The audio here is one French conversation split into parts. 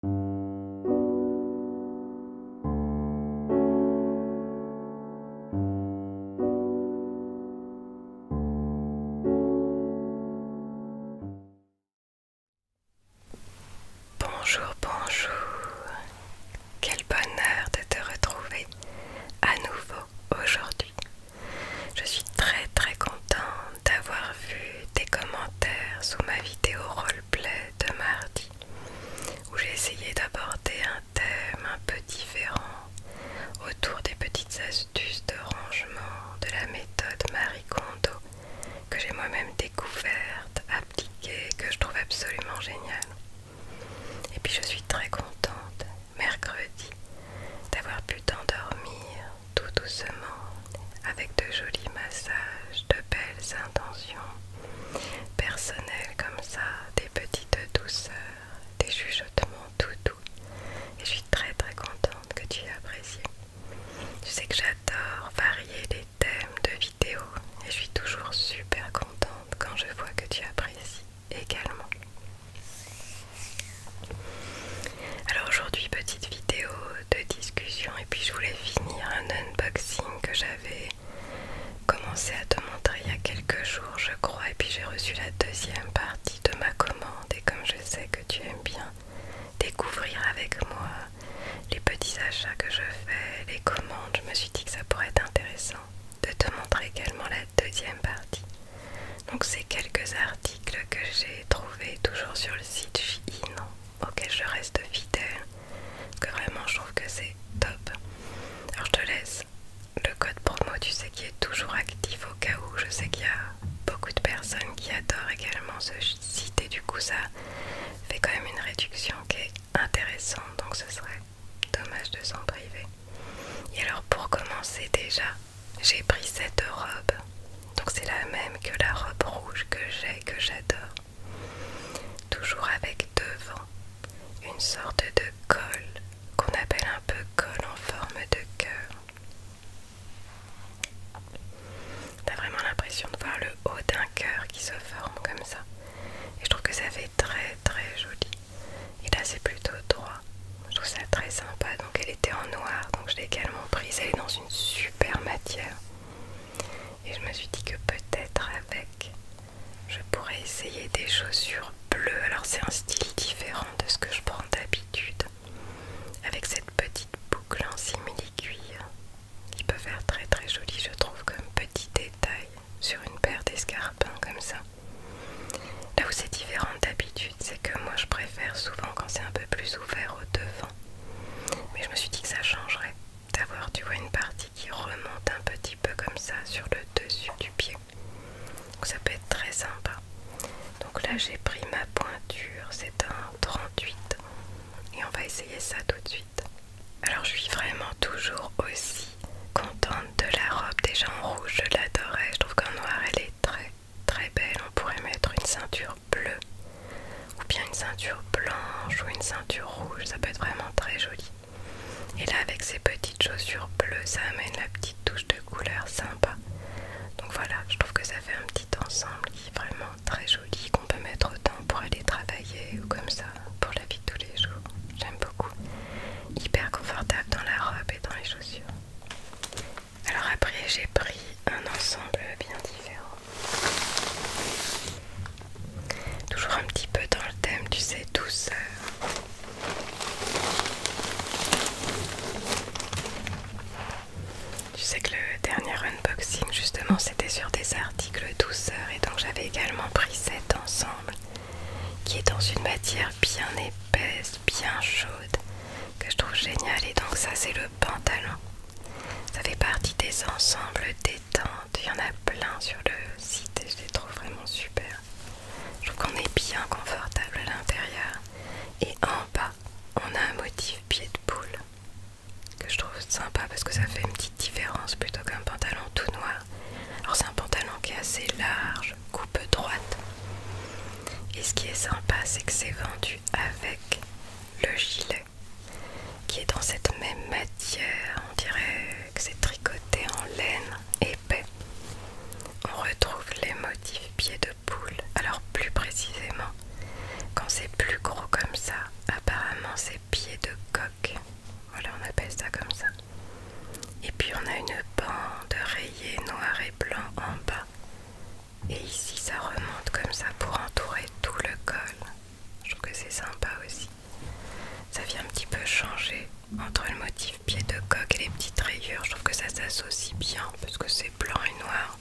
Bonjour, bonjour. Quel bonheur de te retrouver à nouveau aujourd'hui. Je suis très très contente d'avoir vu des commentaires sous ma vidéo roleplay de mardi où j'ai essayé d'aborder un thème un peu différent autour des petites astuces de rangement de la méthode Marie Kondo que j'ai moi-même découverte, appliquée, que je trouve absolument géniale. Et puis je suis très contente, mercredi, d'avoir pu t'endormir tout doucement avec de jolis massages, de belles intentions personnelles comme ça, des petites douceurs, des chuchotements tout doux. Et je suis très très contente que tu aies apprécié. Tu sais que j'adore varier les thèmes de vidéos et je suis toujours super contente quand je vois que tu apprécies également. Alors aujourd'hui petite vidéo de discussion et puis je voulais finir un unboxing que j'avais commencé à te montrer il y a quelques jours je crois et puis j'ai reçu la deuxième partie de ma commande et comme je sais que tu aimes bien découvrir avec moi les petits achats que je fais, les commandes, je me suis dit que ça pourrait être intéressant de te montrer également la deuxième partie. Donc c'est quelques articles que j'ai trouvés toujours sur le site Shein auquel je reste fidèle, que vraiment je trouve que c'est top. Alors je te laisse le code promo, tu sais, qui est toujours actif au cas où. Je sais qu'il y a beaucoup de personnes qui adorent également ce site et du coup ça fait quand même une réduction qui est intéressante, donc ce serait dommage de s'en priver. Et alors pour commencer déjà, j'ai pris cette robe, donc c'est la même que la robe rouge que j'ai, que j'adore toujours avec devant une sorte de col, qu'on appelle un peu col en forme de cœur. T'as vraiment l'impression de voir le haut d'un cœur qui se forme comme ça. Et je trouve que ça fait très très joli. Et là c'est plutôt droit. Je trouve ça très sympa. Donc elle était en noir. Donc je l'ai également prise. Elle est dans une super matière. Et je me suis dit que peut-être avec, je pourrais essayer des chaussures bleues. Alors c'est un style différent de ce que je prends d'habitude. Avec cette petite boucle en simili-cuir qui peut faire très très joli, je trouve, comme petit détail sur une paire d'escarpins comme ça. Là où c'est différent d'habitude, c'est que moi je préfère souvent quand c'est un peu plus ouvert au devant mais je me suis dit que ça changerait d'avoir, tu vois, une partie qui remonte un petit peu comme ça sur le dessus du pied. Donc ça peut être très sympa. Donc là, j'ai pris ma pointure, c'est un 38 et on va essayer ça tout de suite. Alors je suis vraiment toujours aussi contente de la robe. Déjà en rouge, je l'adorais. Je trouve qu'en noir, elle est très très belle. On pourrait mettre une ceinture bleu ou bien une ceinture blanche ou une ceinture rouge, ça peut être vraiment très joli. Et là avec ces petites chaussures bleues, ça amène la petite touche de couleur sympa. Donc voilà, je trouve que ça fait un petit ensemble qui est vraiment très joli, qu'on peut mettre autant pour aller travailler ou comme ça pour la vie de tous les jours. J'aime beaucoup. Hyper confortable dans la robe et dans les chaussures. Alors après j'ai pris un ensemble bien différent. Toujours un petit peu dans le thème, tu sais, douceur. Tu sais que le dernier unboxing, justement, c'était sur des articles douceur et donc j'avais également pris cet ensemble qui est dans une matière bien épaisse, bien chaude, que je trouve géniale et donc ça c'est le pantalon ça fait partie des ensembles détente. Il y en a plein sur le site et je les trouve vraiment super. Je trouve qu'on est bien confortable à l'intérieur. Et en bas, on a un motif pied de poule que je trouve sympa parce que ça fait une petite différence plutôt qu'un pantalon tout noir. Alors c'est un pantalon qui est assez large, coupe droite. Et ce qui est sympa, c'est que c'est vendu avec le gilet qui est dans cette même matière. On dirait que c'est tricoté en laine épais. On retrouve les motifs pieds de poule. Alors plus précisément, quand c'est plus gros comme ça, apparemment c'est pieds de coque Voilà, on appelle ça comme ça. Et puis on a une bande rayée noir et blanc en bas et ici ça remonte comme ça pour entourer tout le col. Je trouve que c'est sympa aussi. Ça vient un petit peu changer entre le motif pied de coque et les petites rayures. Je trouve que ça s'associe bien parce que c'est blanc et noir.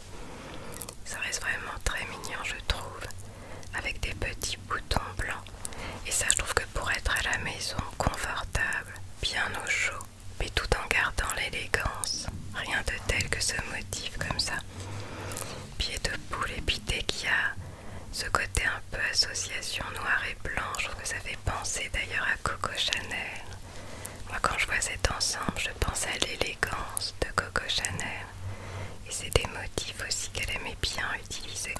Ça reste vraiment très mignon je trouve. Avec des petits boutons blancs. Et ça je trouve que pour être à la maison, confortable, bien au chaud, mais tout en gardant l'élégance. Rien de tel que ce motif comme ça pied de poule et puis dès qu'il y a ce côté un peu association noir et blanc, je trouve que ça fait penser d'ailleurs à Coco Chanel. Moi quand je vois cet ensemble, je pense à l'élégance de Coco Chanel. Et c'est des motifs aussi qu'elle aimait bien utiliser.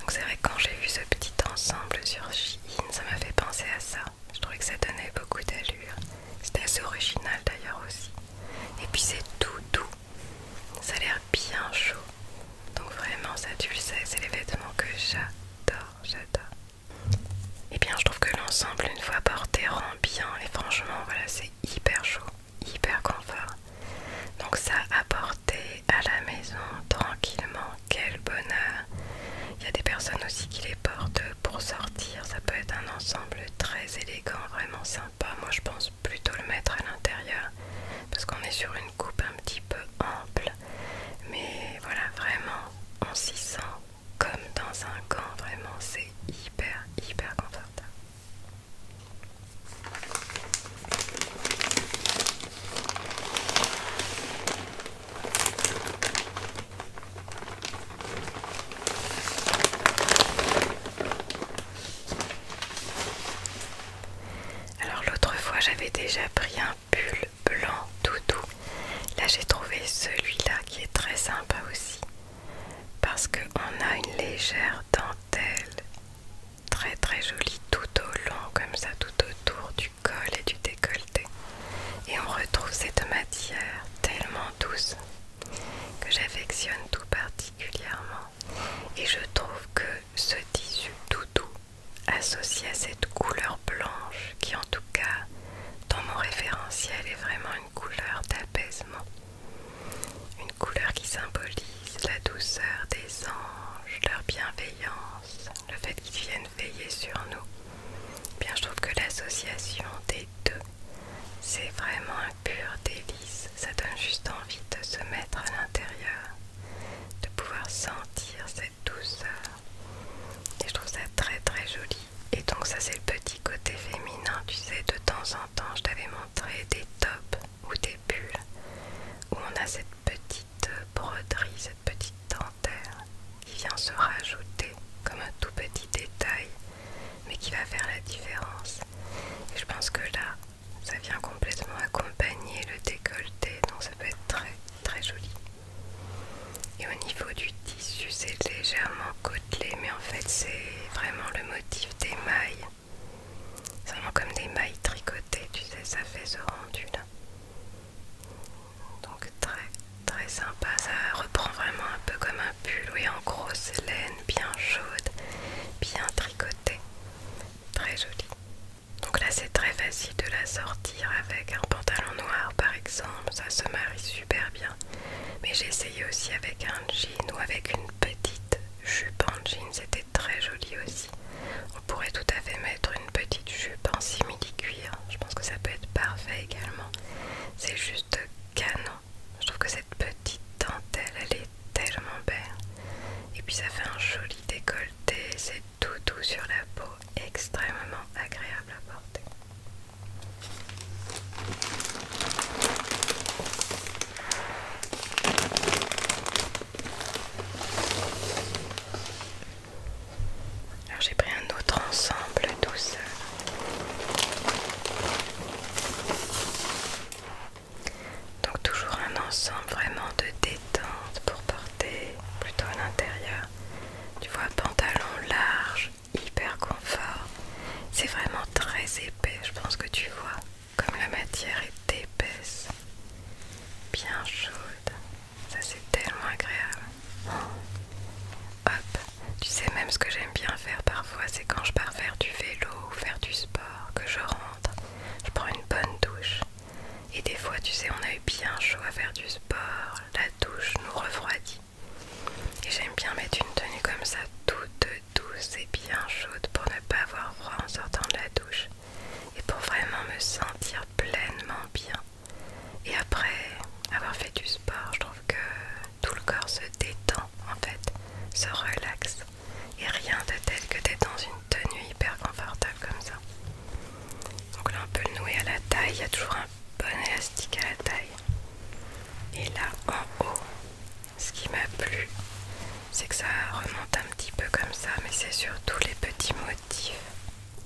Donc c'est vrai que quand j'ai vu ce petit ensemble sur Chine, ça m'a fait penser à ça. Je trouvais que ça donnait beaucoup d'allure. C'était assez original d'ailleurs aussi. Et puis c'est tout doux. Ça a l'air bien chaud. Donc vraiment ça tu le sais, c'est les vêtements que j'adore, j'adore. Et eh bien je trouve que l'ensemble une fois porté rend bien et franchement voilà c'est hyper chaud, hyper confort. Donc ça à porter à la maison tranquillement, quel bonheur. Il y a des personnes aussi qui les portent pour sortir ça peut être un ensemble très élégant, vraiment sympa. Moi je pense plutôt le mettre à l'intérieur parce qu'on est sur une coupe un petit peu ample. Mais voilà, vraiment, on s'y sent comme dans un camp. vraiment c'est hyper hyper confortable. Alors l'autre fois j'avais déjà pris un pull blanc tout doux. Là j'ai trouvé celui-là qui est très sympa aussi parce qu'on a une légère dentelle très très jolie tout au long comme ça tout autour du col et du décolleté et on retrouve cette matière tellement douce que j'affectionne tout particulièrement et je trouve que ce tissu tout doux associé à cette couleur blanche qui en tout cas dans mon référentiel est vraiment une couleur d'apaisement une couleur qui symbolise la douceur des anges, leur bienveillance, le fait qu'ils viennent veiller sur nous. Bien, je trouve que l'association des c'est vraiment un pur délice, ça donne juste envie de se mettre à l'intérieur, de pouvoir sentir cette douceur. Et je trouve ça très très joli. Et donc ça c'est le petit côté féminin, tu sais, de temps en temps je t'avais montré des tops ou des bulles où on a cette petite broderie, cette petite dentelle qui vient se rajouter comme un tout petit détail mais qui va faire la différence. Et je pense que là, ça vient complètement accompagner le décolleté, donc ça peut être très très joli. Et au niveau du tissu, c'est légèrement côtelé, mais en fait c'est vraiment le motif des mailles. C'est vraiment comme des mailles tricotées, tu sais, ça fait ce rendu là. Donc très Très sympa, ça reprend vraiment un peu comme un pull, oui, en grosse laine, bien chaude, bien tricotée, très jolie. Donc là, c'est très facile de la sortir avec un pantalon noir par exemple, ça se marie super bien. Mais j'ai essayé aussi avec un jean ou avec une petite jupe en jean, c'était très joli aussi. On pourrait tout à fait mettre une petite jupe en simili-cuir, je pense que ça peut être parfait également. C'est juste canon. Je trouve que cette petite dentelle, elle est tellement belle. Et puis ça fait un joli décolleté, c'est tout doux sur la peau, extrêmement agréable à porter. Alors j'ai pris un autre ensemble seul. Donc toujours un ensemble vraiment de détente pour porter plutôt à l'intérieur. Tu vois, pantalon large, hyper confort. C'est vraiment très épais, je pense que tu vois, comme la matière est épaisse, bien chaude. Ça c'est tellement agréable. Hop, tu sais même ce que j'aime bien faire parfois, c'est quand je pars faire du vélo ou faire du sport, que je rentre, je prends une bonne douche. Et des fois, tu sais, on a eu bien chaud à faire du sport, la douche nous refroidit. Et j'aime bien mettre une tenue comme ça, toute douce et bien chaude pour ne pas avoir froid en sortant de la douche. Et pour vraiment me sentir pleinement bien. Et après avoir fait du sport, je trouve que tout le corps se détend en fait, se relaxe. Et rien de tel que d'être dans une tenue hyper confortable comme ça. Donc là on peut le nouer à la taille, il y a toujours un bon élastique à la taille. Et là en haut, ce qui m'a plu, c'est que ça remonte un petit peu comme ça, mais c'est surtout les petits motifs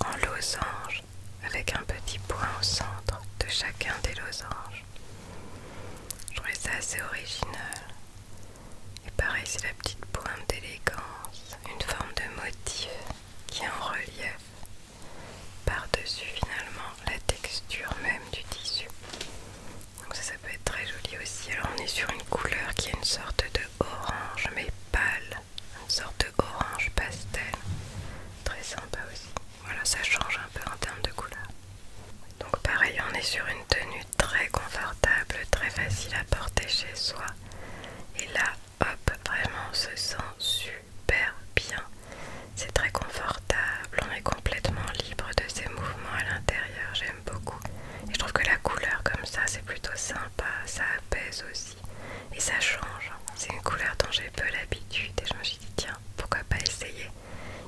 en losange, avec un petit point au centre de chacun des losanges. Je trouvais ça assez original. Et pareil, c'est la petite pointe d'élégance, une forme de motif qui en relief par-dessus finalement la texture même du tissu. Donc ça, ça peut être très joli aussi. Alors on est sur une couleur qui est une sorte de orange mais pâle, une sorte d'orange pastel. Très sympa aussi. Voilà, ça change un peu en termes de couleur. Donc pareil, on est sur une tenue très confortable, très facile à porter chez soi. Et là, hop, vraiment on se sent super bien. C'est très confortable, on est complètement libre de ses mouvements à l'intérieur, j'aime beaucoup. Et je trouve que la couleur comme ça, c'est plutôt sympa, ça apaise aussi. Et ça change, hein. c'est une couleur dont j'ai peu l'habitude et je me suis dit tiens, Hein, pourquoi pas essayer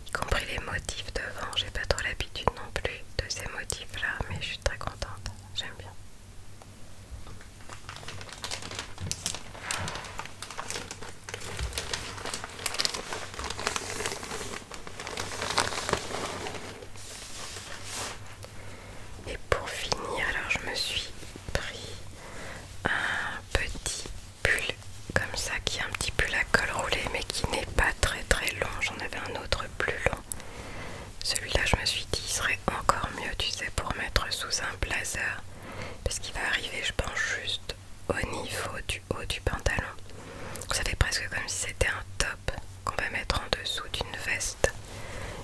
Y compris les motifs devant, j'ai pas trop l'habitude non plus de ces motifs là, mais je suis très contente, j'aime bien. Et pour finir, alors je me suis pris un petit pull comme ça qui est un petit peu la colle roulée mais qui n'est pas très très long. J'en avais un autre plus long. Celui-là je me suis dit il serait encore mieux tu sais pour mettre sous un blazer parce qu'il va arriver je pense juste au niveau du haut du pantalon. Ça fait presque comme si c'était un top qu'on va mettre en dessous d'une veste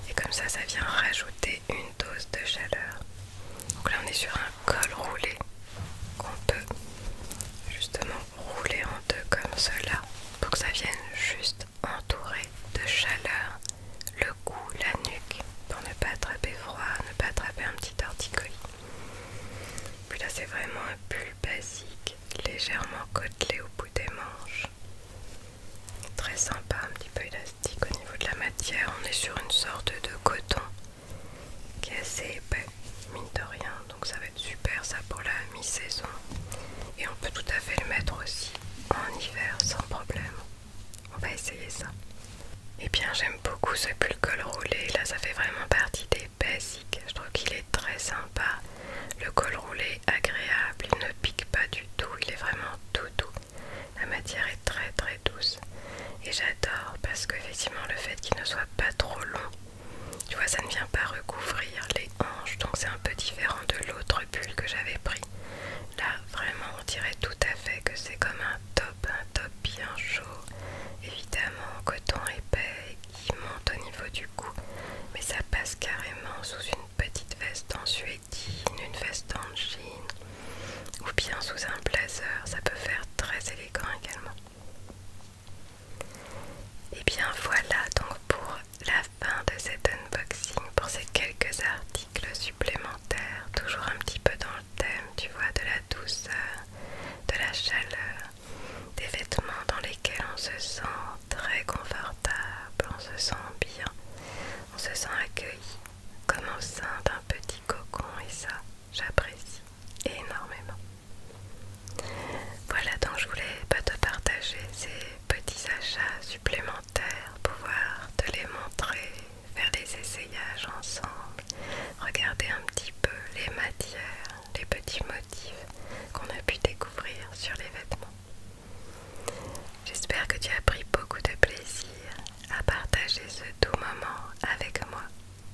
et comme ça ça vient rajouter une dose de chaleur. Donc là on est sur un col roulé qu'on peut justement rouler en deux comme cela pour que ça vienne juste entourer de chaleur le cou, la nuque pour ne pas attraper froid, ne pas attraper un petit torticolis. Puis là c'est vraiment un pull basique, légèrement côtelé au bout des manches. Très sympa, un petit peu élastique au niveau de la matière. On est sur une sorte de coton qui est assez épais, mine de rien, donc ça va être super ça pour la mi-saison. Et on peut tout à fait le mettre aussi en hiver sans problème. On va essayer ça. Et eh bien j'aime beaucoup ce pull col roulé, là ça fait vraiment partie des basiques. Je trouve qu'il est très sympa. Le col roulé agréable, il ne pique pas du tout, il est vraiment tout doux. La matière est très très douce et j'adore parce que qu'effectivement le fait qu'il ne soit pas trop long, tu vois ça ne vient pas recouvrir les hanches donc c'est un peu différent de l'autre pull que j'avais pris. Là vraiment on dirait tout à fait que c'est comme un top, un top bien chaud, évidemment coton épais qui monte au niveau du cou mais ça passe carrément sous une petite veste en suétine, une veste en jean ou bien sous un blazer, ça peut faire très élégant également. Et eh bien voilà donc pour la fin de cet unboxing, pour ces quelques articles supplémentaires, toujours un petit peu dans le thème, tu vois, de la douceur, de la chaleur, des vêtements dans lesquels on se sent très confortable, on se sent bien, on se sent accueilli, comme au sein d'un petit cocon et ça, j'apprécie énormément. Voilà, donc je voulais pas te partager ces petits achats supplémentaires, pouvoir te les montrer, faire des essayages ensemble, regarder un petit peu les matières, les petits motifs qu'on a pu découvrir sur les vêtements. J'espère que tu as pris beaucoup de plaisir à partager ce doux moment avec moi.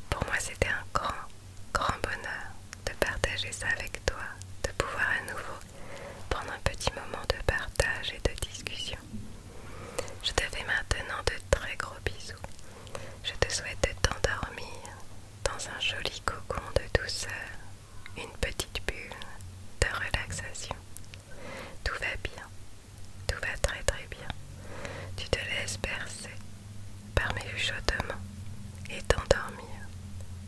Pour moi, c'était un grand, grand bonheur de partager ça avec toi, de pouvoir à nouveau prendre un petit moment de partage et de discussion. Je te fais maintenant de très gros bisous. Je te souhaite de t'endormir dans un joli cocon de douceur, une petite bulle de relaxation. Tout va bien, tout va très très bien. Tu te laisses bercer par mes chuchotements et t'endormir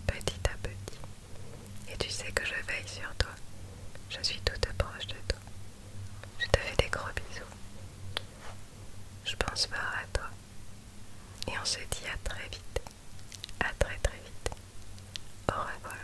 petit à petit. Et tu sais que je veille sur toi. Je suis toute proche de toi. Je te fais des gros bisous. Je pense fort à toi. Et on se dit à très vite. À très très vite. Au revoir.